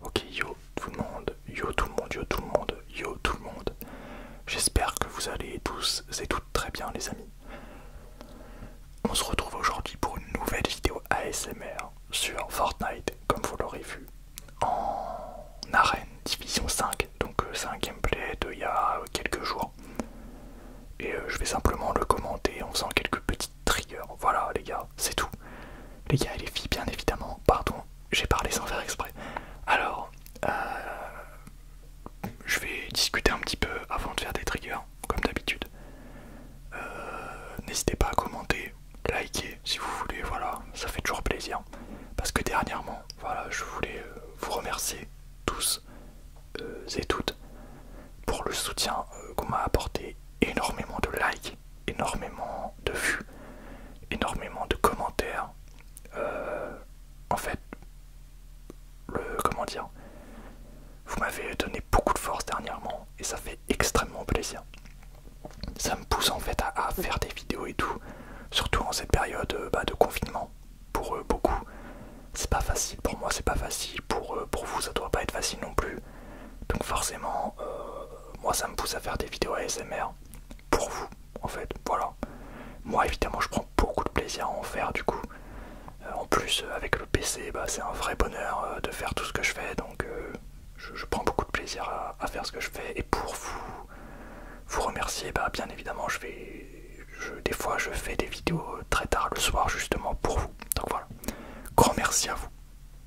Ok, yo tout le monde, yo tout le monde, yo tout le monde, yo tout le monde. J'espère que vous allez tous et toutes très bien les amis. On se retrouve aujourd'hui pour une nouvelle vidéo ASMR sur Fortnite, comme vous l'aurez vu, en arène division 5. Donc euh, c'est un gameplay d'il y a quelques jours. Et euh, je vais simplement le commenter en faisant quelques petits trigger. Voilà, les gars, c'est tout. Les gars et les filles, bien évidemment. Pardon, j'ai parlé sans faire exprès. Alors, euh, je vais discuter un petit peu avant de faire des triggers, comme d'habitude. Euh, n'hésitez pas à commenter, liker si vous voulez, voilà, ça fait toujours plaisir. Parce que dernièrement, voilà, je voulais euh, vous remercier tous et toutes pour le soutien qu'on m'a apporté, énormément de likes, énormément de vues, énormément de commentaires. Euh, en fait, le comment dire, vous m'avez donné beaucoup de force dernièrement et ça fait extrêmement plaisir. Ça me pousse en fait à, faire des vidéos et tout, surtout en cette période euh, bah, de confinement. Pour euh, beaucoup, c'est pas facile. Pour moi, c'est pas facile. Pour, pour vous, ça doit pas être facile non plus. Donc forcément, euh, moi ça me pousse à faire des vidéos ASMR pour vous, en fait, voilà. Moi évidemment je prends beaucoup de plaisir à en faire du coup. Euh, en plus euh, avec le PC, bah, c'est un vrai bonheur de faire tout ce que je fais, donc je, prends beaucoup de plaisir à, faire ce que je fais. Et pour vous, vous remercier, bah, bien évidemment je vais... des fois je fais des vidéos très tard le soir justement pour vous. Donc voilà. Grand merci à vous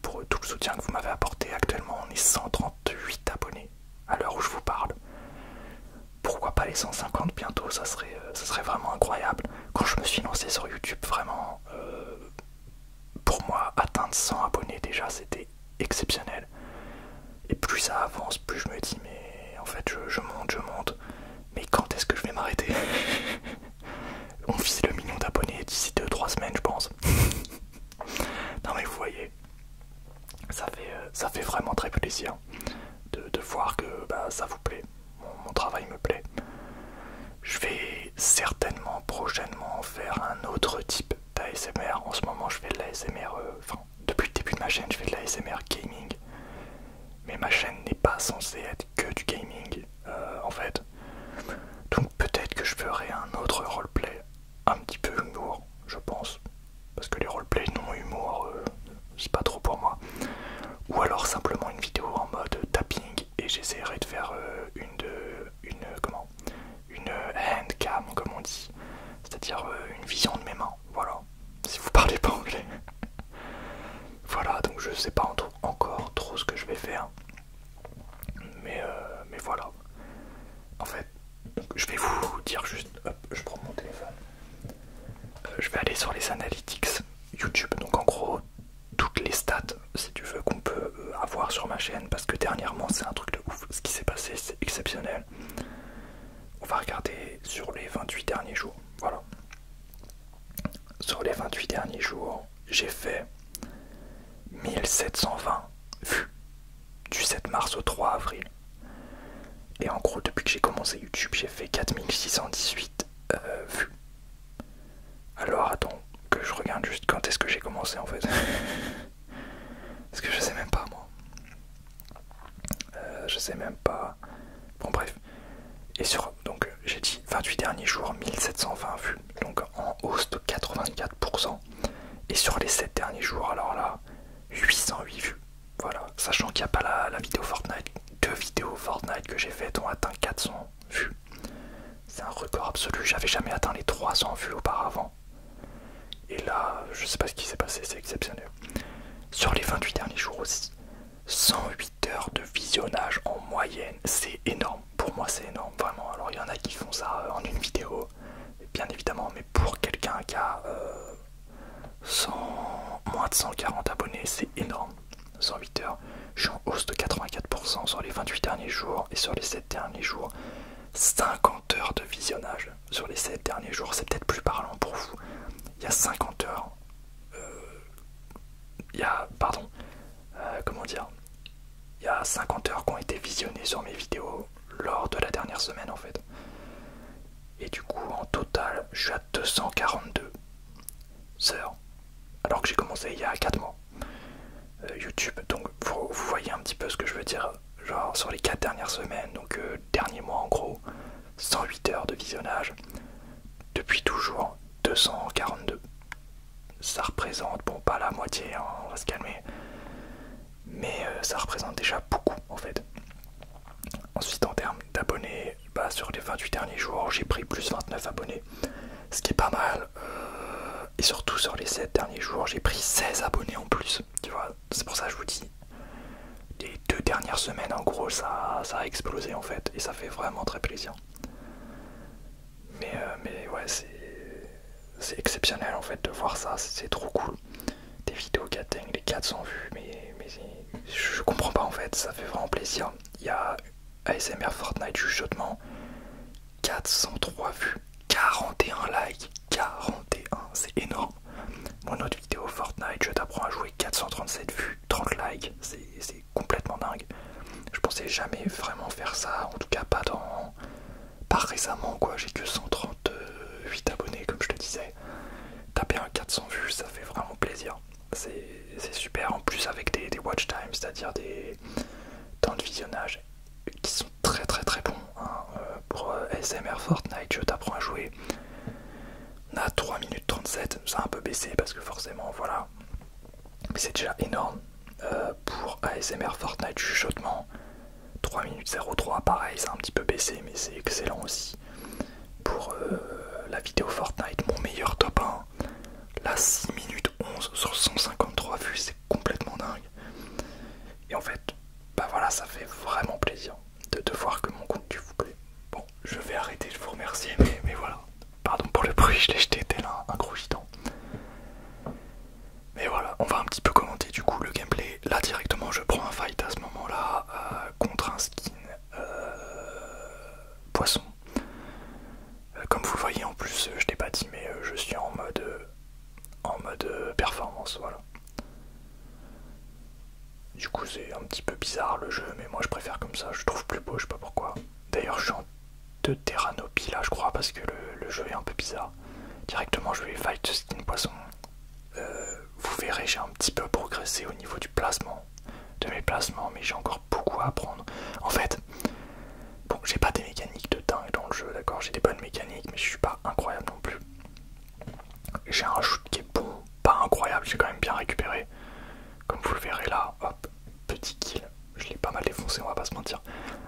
pour tout le soutien que vous m'avez apporté. Actuellement, on est 138 abonnés à l'heure où je vous parle. Pourquoi pas les 150 bientôt euh, ça serait, vraiment incroyable. Quand je me suis lancé sur YouTube, vraiment, euh, pour moi, atteindre 100 abonnés déjà, c'était exceptionnel. Et plus ça avance, plus je me dis, mais en fait, je, monte, je monte. Mais quand est-ce que je vais m'arrêter On vise le million d'abonnés d'ici 2-3 semaines, je pense. Non mais vous voyez, ça fait, euh, ça fait vraiment très plaisir de, voir que bah, ça vous plaît, mon, travail me plaît. Je vais certainement prochainement faire un autre type d'ASMR. En ce moment je fais de l'ASMR, euh, enfin depuis le début de ma chaîne je fais de l'ASMR gaming. Mais ma chaîne n'est pas censée être que du gaming euh, en fait peut-être que je ferai un autre roleplay un petit peu humour, je pense. Parce que les roleplays non humour, euh, c'est pas trop pour moi. Ou alors simplement une vidéo en mode tapping et j'essaierai de faire euh, une de une euh, comment une handcam comme on dit, c'est-à-dire une vision de mes mains. Voilà. Si vous parlez pas anglais. voilà, donc je ne sais pas encore trop ce que je vais faire. Mais, euh, mais voilà. En fait, je vais vous dire juste, hop, je prends mon téléphone. Euh, je vais aller sur les analytics YouTube, donc en gros toutes les stats, si tu veux, qu'on peut euh, avoir sur ma chaîne, parce que dernièrement c'est un truc de ouf, ce qui s'est passé c'est exceptionnel. On va regarder sur les 28 derniers jours, voilà. Sur les 28 derniers jours, j'ai fait 1720 vues du 7 mars au 3 avril. Et en gros, depuis que j'ai commencé YouTube, j'ai fait 4618 euh, vues. Alors attends, que je regarde juste quand est-ce que j'ai commencé en fait. Parce que je sais même pas moi. Euh, je sais même pas. Bon bref. Et sur, donc j'ai dit 28 derniers jours, 1720 vues. Donc en hausse de 84%. Et sur les 7 derniers jours, alors là, 808 vues. Voilà, sachant qu'il n'y a pas la, vidéo Fortnite. Deux vidéos Fortnite que j'ai faites ont atteint 400 vues. C'est un record absolu, j'avais jamais atteint les 300 vues auparavant. Et là, je sais pas ce qui s'est passé, c'est exceptionnel. Sur les 28 derniers jours aussi, 108 heures de visionnage en moyenne, c'est énorme. Pour moi, c'est énorme, vraiment. Alors, il y en a qui font ça euh, en une vidéo, bien évidemment, mais pour quelqu'un qui a euh, moins de 140 abonnés, c'est énorme. 108 heures, je suis en hausse de 84% sur les 28 derniers jours et sur les 7 derniers jours. 50 heures de visionnage sur les 7 derniers jours, c'est peut-être plus parlant pour vous. Il y a 50 heures, euh, il y a, pardon, euh, comment dire, il y a 50 heures qui ont été visionnées sur mes vidéos lors de la dernière semaine en fait. Et du coup, en total, je suis à 242 heures, alors que j'ai commencé il y a 4 mois. Euh, YouTube, donc vous, voyez un petit peu ce que je veux dire, genre sur les 4 dernières semaines, donc euh, dernier mois en gros, 108 heures de visionnage, depuis toujours 242 ça représente, bon pas la moitié, hein, on va se calmer, mais euh, ça représente déjà beaucoup en fait. Ensuite en termes d'abonnés, bah, sur les 28 derniers jours j'ai pris plus 29 abonnés, ce qui est pas mal. Euh, et surtout sur les 7 derniers jours j'ai pris 16 abonnés en plus, tu vois, c'est pour ça que je vous dis. Les deux dernières semaines en gros ça, ça a explosé en fait et ça fait vraiment très plaisir. Mais, euh, mais ouais, c'est exceptionnel en fait de voir ça, c'est trop cool. Des vidéos qui atteignent les 400 vues, mais, mais je comprends pas en fait, ça fait vraiment plaisir. Il y a ASMR Fortnite chuchotement, 403 vues, 41 likes, 41, c'est énorme. Mon autre vidéo Fortnite, je t'apprends à jouer, 437 vues, 30 likes, c'est complètement dingue. Je pensais jamais vraiment faire ça, en tout cas pas dans pas récemment quoi, j'ai que 138 abonnés comme je te disais. Taper un 400 vues, ça fait vraiment plaisir. C'est super, en plus avec des, watch times c'est-à-dire des temps de visionnage qui sont très très très bons. Hein. Euh, pour euh, SMR Fortnite, je t'apprends à jouer. On a 3 minutes 37, ça a un peu baissé parce que forcément, voilà, mais c'est déjà énorme euh, pour ASMR Fortnite chuchotement. 3 minutes 03, pareil, c'est un petit peu baissé, mais c'est excellent aussi. Pour euh, la vidéo Fortnite, mon meilleur top 1, la 6 minutes 11 sur 153 vues, c'est complètement dingue. Et en fait, bah voilà, ça fait vraiment plaisir de, de voir que mon contenu vous plaît. Bon, je vais arrêter, je vous remercie, mais, voilà. Pardon pour le bruit, je l'ai jeté tel là, un gros gitan. Mais voilà, on va un petit peu commenter du coup le gameplay. Là directement je prends un fight à ce moment-là euh, contre un skin euh, poisson. Euh, comme vous le voyez en plus, je t'ai pas dit mais je suis en mode en mode performance, voilà. Du coup c'est un petit peu bizarre le jeu mais moi je préfère comme ça, je trouve plus beau, je sais pas pourquoi. D'ailleurs je suis de Terranopie là je crois parce que le, jeu est un peu bizarre. Directement je vais fight skin poisson. Euh, vous verrez j'ai un petit peu progressé au niveau du placement, de mes placements, mais j'ai encore beaucoup à apprendre. En fait, bon j'ai pas des mécaniques de dingue dans le jeu, d'accord, j'ai des bonnes mécaniques mais je suis pas incroyable non plus. J'ai un shoot qui est bon, pas incroyable, j'ai quand même bien récupéré. Comme vous le verrez là, hop, petit kill, je l'ai pas mal défoncé, on va pas se mentir.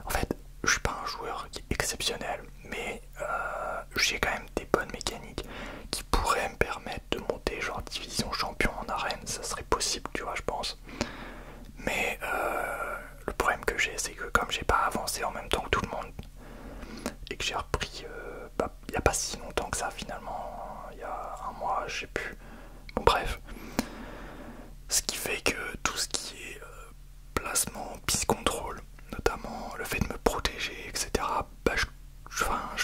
En fait, je suis pas un joueur qui est exceptionnel, mais euh, j'ai quand même des bonnes mécaniques qui pourraient me permettre de monter genre division champion en arène, ça serait possible, tu vois, je pense. Mais euh, le problème que j'ai, c'est que comme j'ai pas avancé en même temps que tout le monde et que j'ai repris euh, bah, il n'y a pas si longtemps que ça finalement, il y a un mois, j'ai pu... plus. Bon, bref, ce qui fait que tout ce qui est placement, pis-contrôle, notamment le fait de me protéger, etc. Bah, je,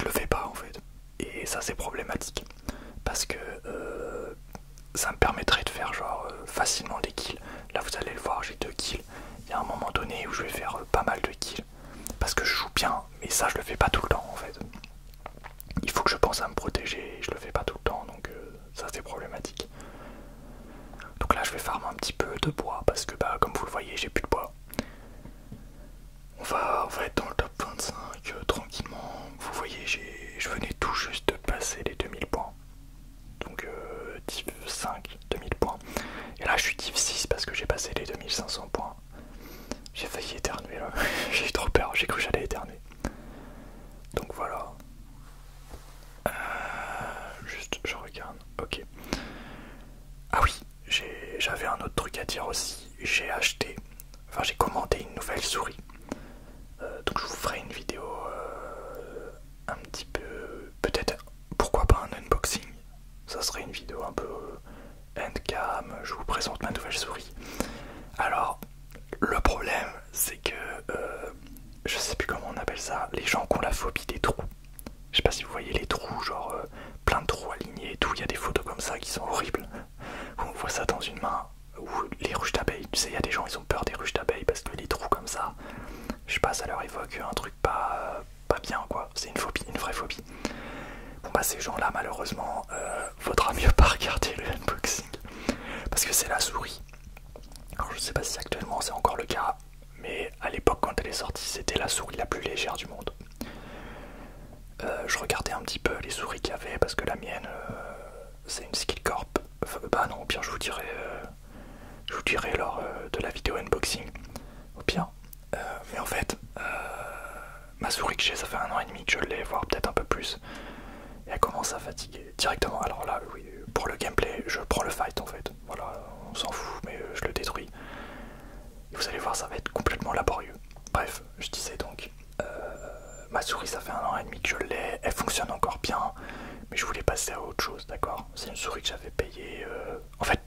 le fais pas en fait. Et ça c'est problématique parce que euh, ça me permettrait de faire genre euh, facilement des kills. Là vous allez le voir, j'ai deux kills. Il y a un moment donné où je vais faire euh, pas mal de kills parce que je joue bien, mais ça je le fais pas tout le temps en fait. Il faut que je pense à me protéger, je le fais pas tout le temps donc ça c'est problématique. Donc là je vais farmer un petit peu de bois parce que bah comme vous le voyez j'ai plus de bois. On va, va être dans le top 25 euh, tranquillement. Vous voyez je venais tout juste de passer les 2000 points. Donc euh, div 5, 2000 points. Et là je suis div 6 parce que j'ai passé les 2500 points. J'ai failli éternuer là, j'ai eu trop peur, j'ai cru que j'allais éternuer. Donc voilà, euh, juste, je regarde. Ok. Ah oui, j'avais un autre truc à dire aussi. J'ai acheté, enfin j'ai commandé une nouvelle souris. Euh, donc je vous ferai une vidéo euh, un petit peu, peut-être, pourquoi pas un unboxing. Ça serait une vidéo un peu end-cam, Je vous présente ma nouvelle souris. Alors, le problème, c'est que euh, je sais plus comment on appelle ça, les gens qui ont la phobie des trous. Je sais pas si vous voyez les trous, genre euh, plein de trous alignés et tout. Il y a des photos comme ça qui sont horribles. On voit ça dans une main, ou les ruches d'abeilles. Tu sais, il y a des gens, ils ont peur des ruches d'abeilles parce que les trous comme ça, je sais pas, ça leur évoque un truc pas, euh, pas bien quoi. C'est une phobie, une vraie phobie. Bon bah, ces gens-là, malheureusement, vaudra faudra mieux pas regarder le unboxing parce que c'est la souris. Alors je sais pas si actuellement c'est encore le cas, mais à l'époque quand elle est sortie c'était la souris la plus légère du monde. Euh, je regardais un petit peu les souris qu'il y avait parce que la mienne euh, c'est une Skillcorp. bah non, bien, je vous dirai, euh, je vous dirai lors de la vidéo unboxing. Au pire. mais en fait, ma souris que j'ai, ça fait un an et demi que je l'ai, voire peut-être un peu plus. elle commence à fatiguer directement. Alors là, oui, pour le gameplay, je prends le fight en fait. Voilà, on s'en fout, mais je le détruis. Et vous allez voir, ça va être complètement laborieux. Bref, je disais donc, euh, ma souris, ça fait un an et demi que je l'ai, elle fonctionne encore bien, mais je voulais passer à autre chose, d'accord C'est une souris que j'avais payé euh, En fait,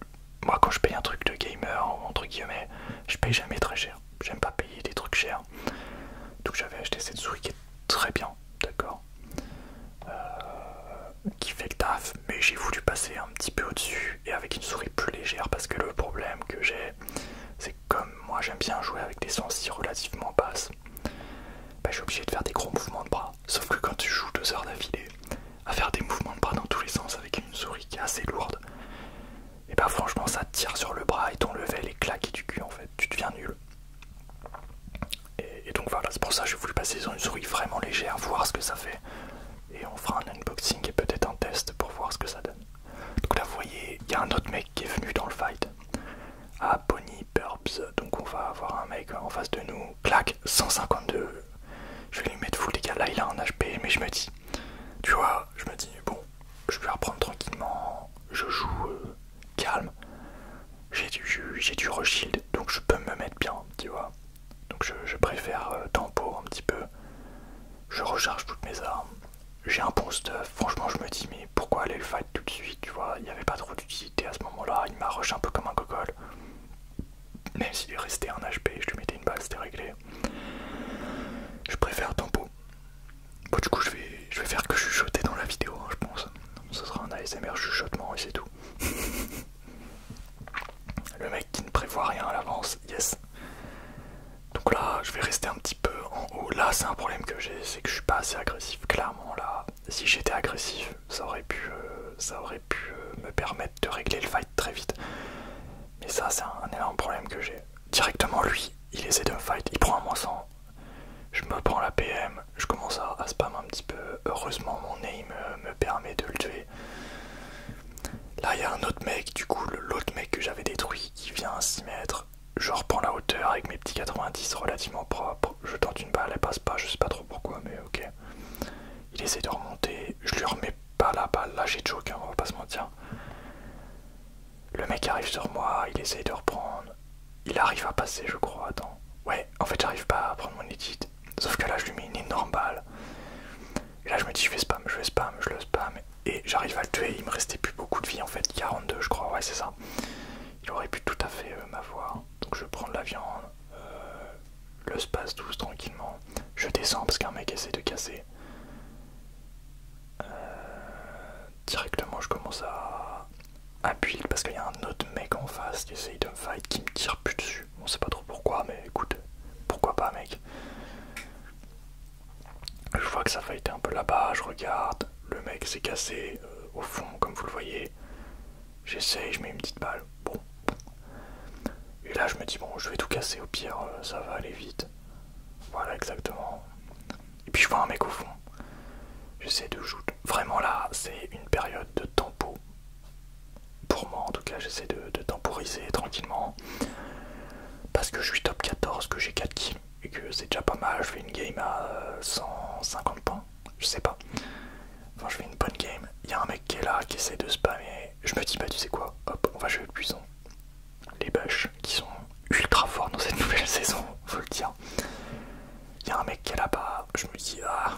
moi, quand je paye un truc de gamer, entre guillemets, je paye jamais très cher. J'aime pas payer des trucs chers. Donc j'avais acheté cette souris qui est très bien, d'accord euh, qui fait le taf, mais j'ai voulu passer un petit peu au-dessus et avec une souris plus légère parce que le problème que j'ai, c'est que comme moi j'aime bien jouer avec des si relativement basses, bah, je suis obligé de faire des gros mouvements de bras. Sauf que quand tu joues deux heures d'affilée à faire des mouvements de bras dans tous les sens avec une souris qui est assez lourde, et bah franchement ça tire sur le bras et ton level est claqué du cul en fait, tu deviens nul. Et, donc voilà, c'est pour ça que je voulais passer sur une souris vraiment légère, voir ce que ça fait. Et on fera un unboxing et peut-être un test pour voir ce que ça donne. Donc là, vous voyez, il y a un autre mec qui est venu dans le fight. Ah, Pony Burbs. Donc on va avoir un mec en face de nous. Clac, 152. Je vais lui mettre full gars, Là, il a un HP, mais je me dis, tu vois, je me dis, bon, je vais reprendre tranquillement. Je joue euh, calme. J'ai du, j'ai du reshield, donc je peux me mettre bien, tu vois. Donc je, préfère euh, tempo un petit peu. Je recharge toutes mes armes. J'ai un bon stuff. Franchement, je me dis, mais pourquoi aller le fight tout de suite, tu vois Il n'y avait pas trop d'utilité à ce moment-là. Il m'a rush un peu comme un gogol. Même s'il est resté un HP, je lui mettais une balle, c'était réglé. Je préfère tempo. Bon, du coup, je vais, je vais faire que chuchoter dans la vidéo, hein, je pense ce sera un ASMR chuchotement et c'est tout. Le mec qui ne prévoit rien à l'avance, yes. Donc là, je vais rester un petit peu en haut. Là, c'est un problème que j'ai, c'est que je suis pas assez agressif. Clairement, là, si j'étais agressif, ça aurait pu, euh, ça aurait pu euh, me permettre de régler le fight très vite. Mais ça, c'est un, énorme problème que j'ai. Directement, lui, il essaie de me fight. Il prend un moins 100 je me prends la PM, je commence à, spam un petit peu. Heureusement, mon aim euh, me, permet de le tuer. Là, il y a un autre mec, du coup, l'autre mec que j'avais détruit, Qui vient s'y mettre Je reprends la hauteur avec mes petits 90 relativement propres. Je tente une balle, elle passe pas, je sais pas trop pourquoi, mais ok. Il essaie de remonter, je lui remets pas la balle, là j'ai choqué, on va pas se mentir. Le mec arrive sur moi, il essaie de reprendre il arrive à passer, je crois. Attends. Ouais, en fait, j'arrive pas à prendre mon edit. Sauf que là, je lui mets une énorme balle. Et là, je me dis, je vais spam, je vais spam, je le spam. Et j'arrive à le tuer. Il me restait plus beaucoup de vie en fait. 42, je crois. Ouais, c'est ça. Il aurait pu tout à fait euh, m'avoir. Donc, je prends de la viande. Euh, le space douce tranquillement. Je descends parce qu'un mec essaie de casser. Euh, directement je commence à, appuyer parce qu'il y a un autre mec en face qui essaye de me fight, qui me tire plus dessus. On sait pas trop pourquoi, mais écoute, pourquoi pas mec. Je vois que ça être un peu là-bas, je regarde, le mec s'est cassé euh, au fond comme vous le voyez. J'essaye, je mets une petite balle, bon. Et là je me dis bon je vais tout casser au pire, euh, ça va aller vite. Voilà exactement. Et puis je vois un mec au fond. J'essaie de jouer. Vraiment là, c'est une période de tempo. Pour moi en tout cas, j'essaie de, temporiser tranquillement. Parce que je suis top 14, que j'ai 4 kills et que c'est déjà pas mal. Je fais une game à 150 euh, points. Je sais pas. Enfin, je fais une bonne game. Il y a un mec qui est là, qui essaie de spammer. Je me dis, bah, tu sais quoi Hop, on va jouer le buisson. Les bâches qui sont ultra forts dans cette nouvelle saison, faut le dire. Il y a un mec qui est là-bas, je me dis, ah,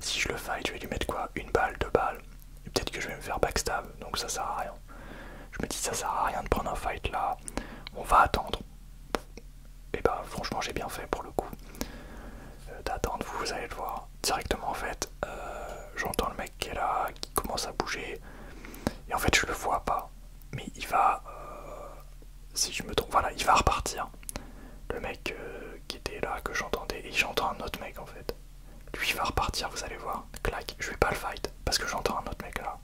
si je le fight, je vais lui mettre quoi Une balle, deux balles, et peut-être que je vais me faire backstab, donc ça sert à rien. Je me dis, ça sert à rien de prendre un fight là, on va attendre. Et eh bah, ben, franchement, j'ai bien fait pour le coup euh, d'attendre, vous allez le voir. Directement, en fait, euh, j'entends le mec qui est là, qui commence à bouger, et en fait, je le vois pas, mais il va. Euh, si je me trompe, voilà, il va repartir. Le mec euh, qui était là, que j'entendais, et j'entends un autre mec en fait. Lui il va repartir, vous allez voir. Clac, je vais pas le fight, parce que j'entends un autre mec là.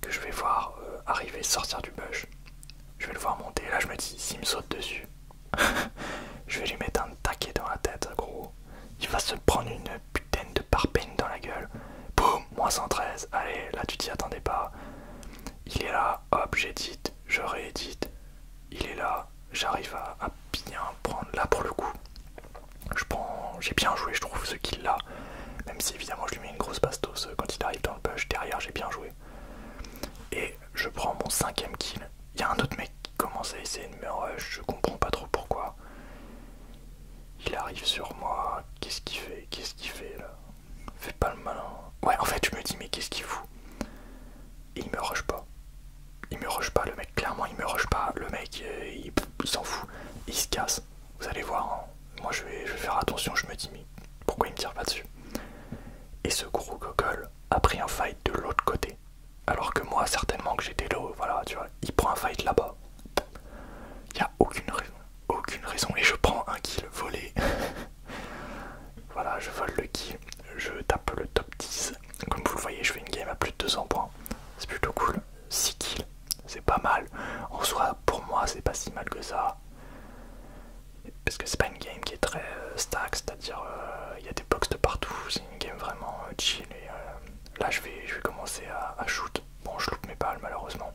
Que je vais voir euh, arriver, sortir du bush. Je vais le voir monter, là je me dis, s'il me saute dessus, je vais lui mettre un taquet dans la tête, gros. Il va se prendre une putain de parpaing dans la gueule. Boum, moins 113. Allez, là tu t'y attendais pas. Il est là, hop, j'édite, je réédite. Il est là, j'arrive à, bien prendre. Là, pour le coup, je prends, j'ai bien joué, je trouve, ce qu'il a. Même si, évidemment, je lui mets une grosse bastos euh, quand il arrive dans le push. Derrière, j'ai bien joué. Et je prends mon cinquième kill. Il y a un autre mec qui commence à essayer de me rush, je comprends pas trop pourquoi. Il arrive sur moi, qu'est-ce qu'il fait Qu'est-ce qu'il fait là Fais pas le malin. Ouais, en fait, je me dis, mais qu'est-ce qu'il fout Il me rush pas. Il me rush pas, le mec. Clairement, il me rush pas. Le mec, euh, il, s'en fout. Il se casse. Vous allez voir. Hein. Moi, je vais, faire attention. Je me dis, mais pourquoi il me tire pas dessus Et ce gros gogol a pris un fight de l'autre côté. Alors que moi, certainement que j'étais là, voilà, tu vois, il prend un fight là-bas. Il a aucune raison aucune raison et je prends un kill volé. voilà, je vole le kill, je tape le top 10. Comme vous le voyez, je fais une game à plus de 200 points. C'est plutôt cool. 6 kills, c'est pas mal. En soi, pour moi, c'est pas si mal que ça. Parce que c'est pas une game qui est très euh, stack, c'est-à-dire euh, il y a des box de partout, c'est une game vraiment euh, chill. Et, là, je vais, je vais commencer à, à shoot. Bon, je loupe mes balles malheureusement.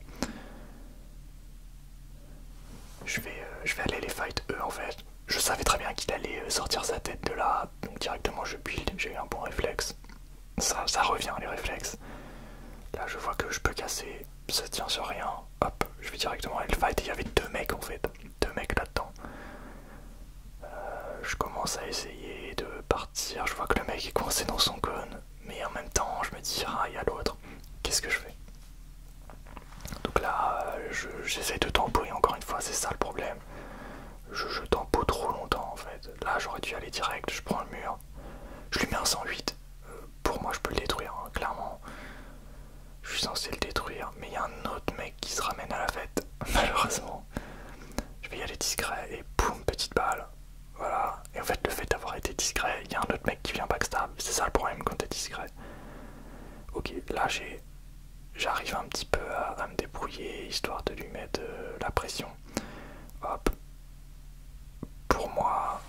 Euh, je vais, aller les fight eux en fait. Je savais très bien qu'il allait euh, sortir sa tête de là, donc directement je build, j'ai eu un bon réflexe. Ça, ça revient les réflexes. Là je vois que je peux casser, ça tient sur rien. Hop, je vais directement aller le fight et il y avait deux mecs en fait. Deux mecs là-dedans. Euh, je commence à essayer de partir. Je vois que le mec est coincé dans son cône. Mais en même temps, je me dis, ah, il y a l'autre. Qu'est-ce que je fais donc là, euh, j'essaie de tamponner. encore une fois, c'est ça le problème. Je, je trop longtemps en fait. Là, j'aurais dû aller direct, je prends le mur, je lui mets un 108. Euh, pour moi, je peux le détruire, hein, clairement. Je suis censé le détruire, mais il y a un autre mec qui se ramène à la fête, malheureusement. Je vais y aller discret et boum, petite balle. Voilà. Et en fait, le fait d'avoir été discret, il y a un autre mec qui vient backstab. Ah, c'est ça le problème quand t'es discret. Ok, là j'ai, j'arrive un petit peu à, me débrouiller histoire de lui mettre euh, la pression. Hop, pour moi,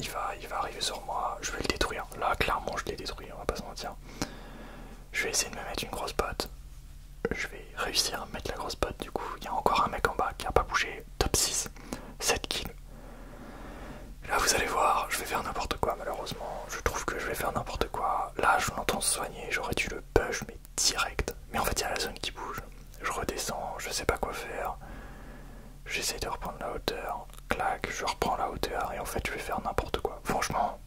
il va, arriver sur moi. Je vais le détruire. Là, clairement, je l'ai détruit. On va pas se mentir. Je vais essayer de me mettre une grosse botte. Je vais réussir à mettre la grosse botte. Du coup, il y a encore un mec en bas qui a pas bougé top 6, 7 kills. Là vous allez voir, je vais faire n'importe quoi malheureusement, je trouve que je vais faire n'importe quoi. Là je l'entends soigner, j'aurais dû le push mais direct. Mais en fait il y a la zone qui bouge, je redescends, je sais pas quoi faire. J'essaie de reprendre la hauteur, clac, je reprends la hauteur et en fait je vais faire n'importe quoi. Franchement,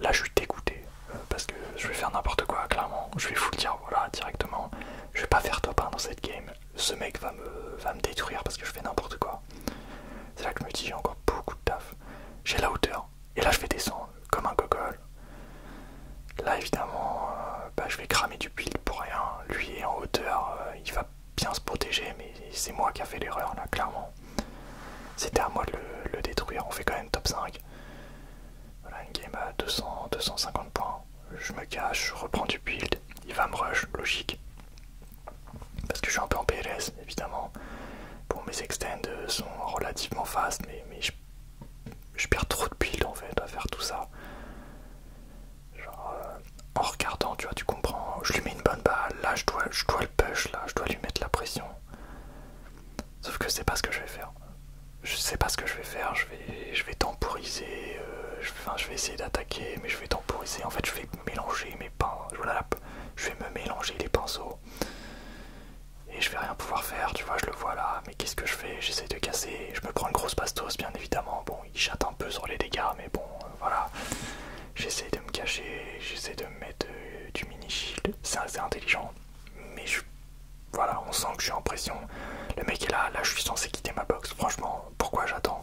là je suis dégoûté euh, parce que je vais faire n'importe quoi, clairement. Je vais vous le dire, voilà, directement. Je vais pas faire top 1 dans cette game ce mec va me, va me détruire parce que je fais n'importe quoi. C'est là que je me dis j'ai encore beaucoup de taf. J'ai la hauteur. Et là je vais descendre comme un gogol. Là évidemment euh, bah, je vais cramer du build pour rien. Lui est en hauteur, euh, il va bien se protéger mais c'est moi qui a fait l'erreur là clairement. C'était à moi de le, détruire. On fait quand même top 5. Voilà une game à 200, 250 points. Je me cache, je reprends du build. Il va me rush, logique. Parce que je suis un peu en PLS, évidemment. Pour mes extends euh, sont relativement fast, mais, mais je, perds trop de build en fait à faire tout ça. Genre, euh, en regardant, tu vois, tu comprends. Je lui mets une bonne balle, là je dois, je dois le push, là je dois lui mettre la pression. Sauf que c'est pas ce que je vais faire. Je sais pas ce que je vais faire, je vais, je vais temporiser, euh, enfin, je vais essayer d'attaquer, mais je vais temporiser. En fait, je vais mélanger mes pinceaux. je vais me mélanger les pinceaux. Et je vais rien pouvoir faire, tu vois, je le vois là. Mais qu'est-ce que je fais J'essaie de casser. Je me prends une grosse pastos bien évidemment. Bon, il chatte un peu sur les dégâts, mais bon, euh, voilà. J'essaie de me cacher, j'essaie de me mettre euh, du mini shield. C'est assez intelligent. Mais je... Voilà, on sent que je suis en pression. Le mec est là, là je suis censé quitter ma box. Franchement, pourquoi j'attends